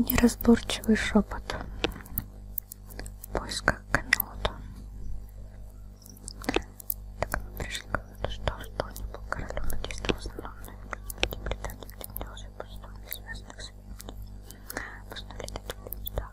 Неразборчивый шепот в поисках Камелота. Так мы пришли к выводу, что что-нибудь королю надействовал в основном на эксплуатации Британии, где делался большинство несвязанных советников. В основе таких местах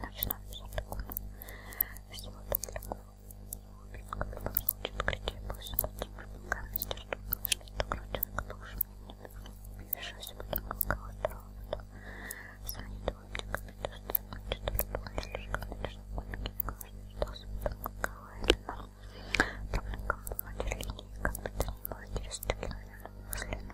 начну писать такую всего доброго. Как бы получит критик, пусть будет камень, что такого человека больше мне не вешался, потом колокола второго, потом звонит лобниками, то что я что-то было слишком, конечно, лобники не каждый ждался, потом колокола и но там на кого-то линии, как бы то ни было, через 100 километров после, но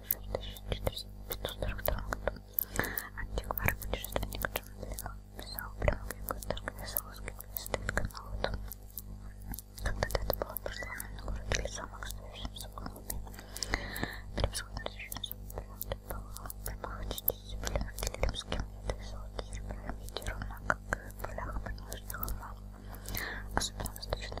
1942 году антиквар путешественник Джон Лео писал прямую картинку из русских листов канала. Когда-то это было прославлено город или замок с движущимся голубями. Превосходно защищенный субъект был прямоходитель земли в римским и золотой серебрями, ровно как в полях подножных холмов. Особенно восточная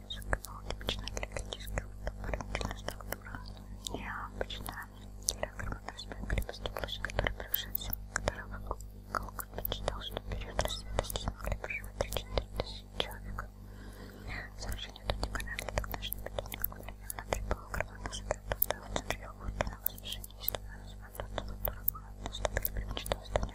музыка типичная для критических дополнительная структура необычная диаграмма спектра поступалась, которая превышает всем, которого Голкот почитал, что период рассветности смогли проживать 3-4 тысячи человек. Совершение тут не понятно, тогда же не будет никакой времени, прибыло громадно сотрудничество в центре его на возвышении, и становилось мандатом, которого он наступил при мечтовстве не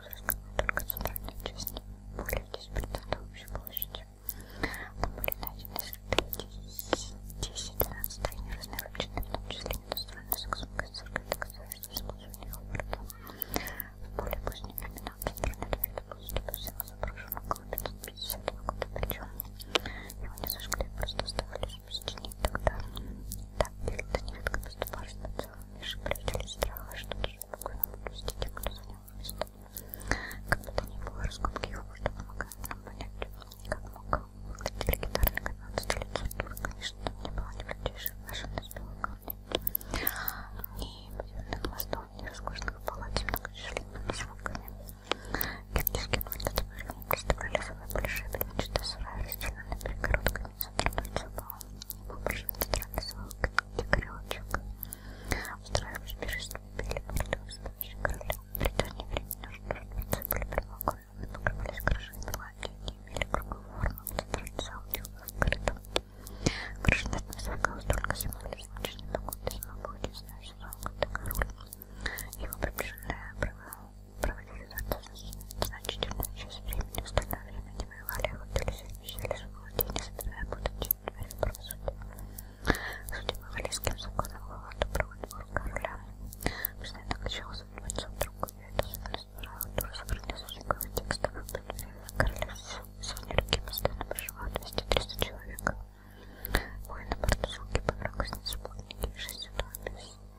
Пузырька, но только центральную часть, более 10% общей площади. Там были найдены следы 10-12 тренеров разнообразные, в том числе недостроенной саксонской церкви, доказательства использования Хобарта. В более поздние времена центральный дворец полностью всего заброшен около 550 года, причем его не зажгли, просто оставили запустение тогда. Так, перед нередко поступали специалами, шиплютили страха, что даже спокойно ну, выпустить тех, кто занял место. Как бы то ни было, раскопки его можно помогают нам понять, как мог выглядеть легендарный канал столицей Конечно, там не было ни блюдейших машин из белого камня, ни подземных мостов, ни роскошных палат с многочисленными звуками. Киргизские планеты были представляли собой большие бревенчатые сараи, расстеленные перегородками танцевал. Попрошу танцевал королечек. Устраиваю спешистую пели порту, стоящий короля. При дане времени нужно ждать были предлагаемые, покрывались крышами платья, не имели круговую форму, танцевал тюбы в коридоре. Крыша над высока, столько символизм, очень непокойный, смогу, не знаю, сезон, когда король. Его приближенная проводили за Значительную часть времени в остальное время не воевали, а охотились и вещали в владении, собирая будучи дверь правосудия. Судьба валийским законом была добровольного короля. Постоянно качалась от бойцов друга, и эта особенность была дура собрания сочинковых текстов и предварительных королев. Сегодня руки постоянно проживают 200-300 человек. Воины-портушки, подруга с неспутники, шесть ситуаций.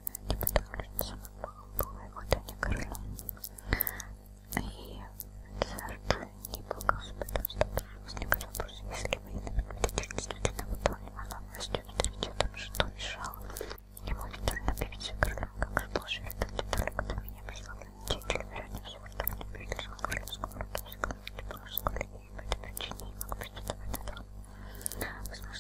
не потому что сама была его не крыла. И Церт не был господом статуса, возникает вопрос, если вы действительно выполнила новостью авторитетом, что мешало ему витально объявиться королем, как же должен это только до меня прославленный деятель, вероятнее всего, что в небельском королевском роду, в комнате по мужской линии, по этой причине не мог претендовать на трон. Возможно,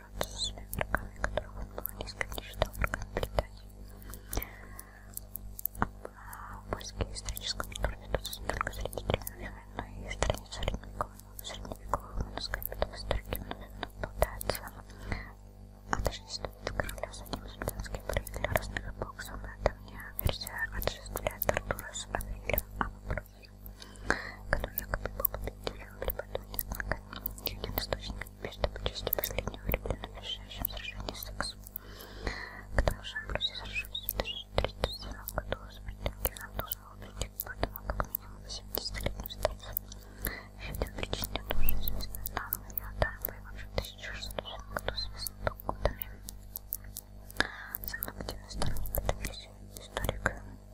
сражаться со своими врагами, которые возможно конечно, а, органы передачи. Поиски исторической культуры ведутся не только среди древних, но и в стране средневековых. В средневековых манускриптах историки попадаются отождествить а короля с одним султанским правителем разных эпох. Самая давняя версия отождествляет Артура с Аврилем Амброзием, который якобы был победителем при батоне, однако ни один источник Победа по части последнего укреплена в решающем сражении с сексом. К тому же Амбросий сражался в 1307 году с претендентом должен был прийти к Батому а как минимум 80-летним старцем. Еще один причинитель тоже известный нам, и Атан воевавший в 1607 году с Вестокутами. Самый активный сторонник этой версии историк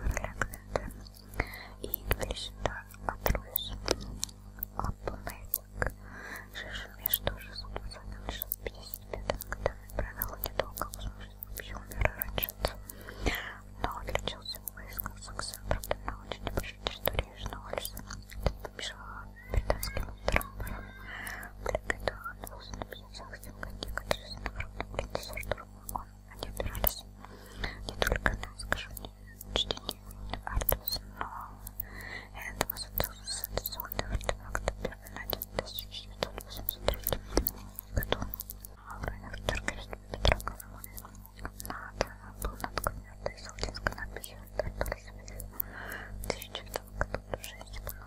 Alexander İngilizce'de Atroyos Аплмейзинг жил между 620 и 655 годами, провел недолго в службе, вообще умер раньше но отличился в войсках Саксенбурга на очень большой территории Южного Ольса, побежала британским трампором, приготовила 257 коней, которые с наградом принцесса штурма, он они опирались не только на, скажем, чтение Артуса, но и этого сенсационного артефакта первый найден в 1983 году в районах Тарковича Петрограда. На данном был надкомерный саудинской надписью «Артур Савельев» в 1900 году. Уже не было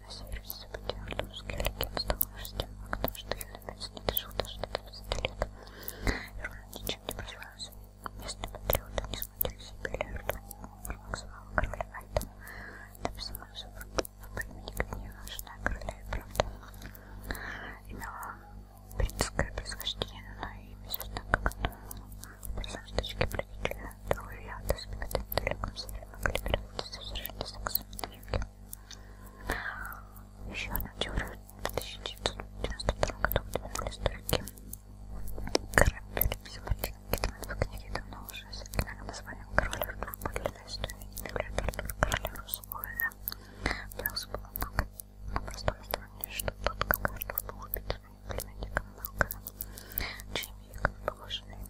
на севере События русские легенды становишься тем фактом, что Юлевец не дожил даже до 30 лет и ровно ничем не прославился. Местные патриоты не смутились и были ртом максимала короля Альта, там самым супругом по имени Гнева, жена короля и правда. Имела бритское происхождение, но и известно как одну из самых точки правителя. Другой вариант испытать только консервы могли превратиться в совершенно сексуальные юги. Еще одна теория в 1992 году выдвинули историки. Король переписи Мартина Китман в книге давно уже с оригинальным названием «Король Артур» подлинная история не является Артур королем Русуэля. Белс был много на простом основании, что тот, как Артур был убит своим племянником Малкольмом, чьими якобы положенные мной вот это вот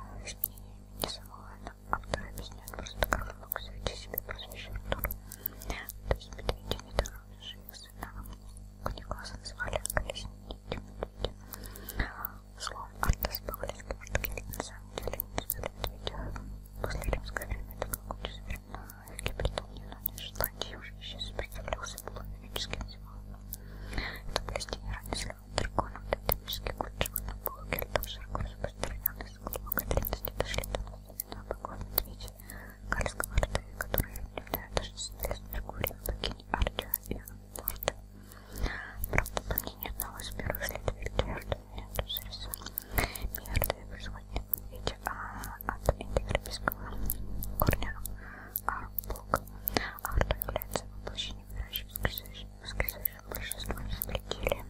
нравилось, мне я не рисовала, это автор объясняет просто как он мог завести себе прозвище Артур. То есть медведя не дороже, их сына Николаса назвали колесники медведя. Слово «артес» по-английски на самом деле не называли медведя. После римского времени это было очень современно в Гибритании, но не Шотландии уже еще сопротивлялся полумифическим зимам. Это были стенеры, не дракона тотемический культ живой на полукельтов, широко распространенный с глубокой древности дошли до на богов медведя Кальского рта, которые являются существенной фигурой богини Артия и Анфорта. Правда, по мнению одного из первых следователей Артемия Тусариса, Миартия происходит от медведя, а от индоевропейского корня Artbook. Арт является воплощением выращивающим скрижащим большинством изобретили.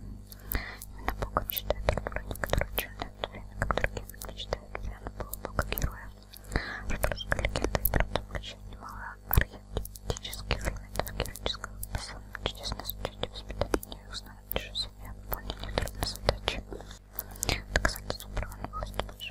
Именно Богом читает Артура некоторые ученые, в то время как другие предпочитают Диану Бога как героя. Артурская легенда и правда включает немало архетических элементов героического послания чудесное сочетание воспитания и узнавать чужой себя выполнение трудной задачи. Доказательство права на власть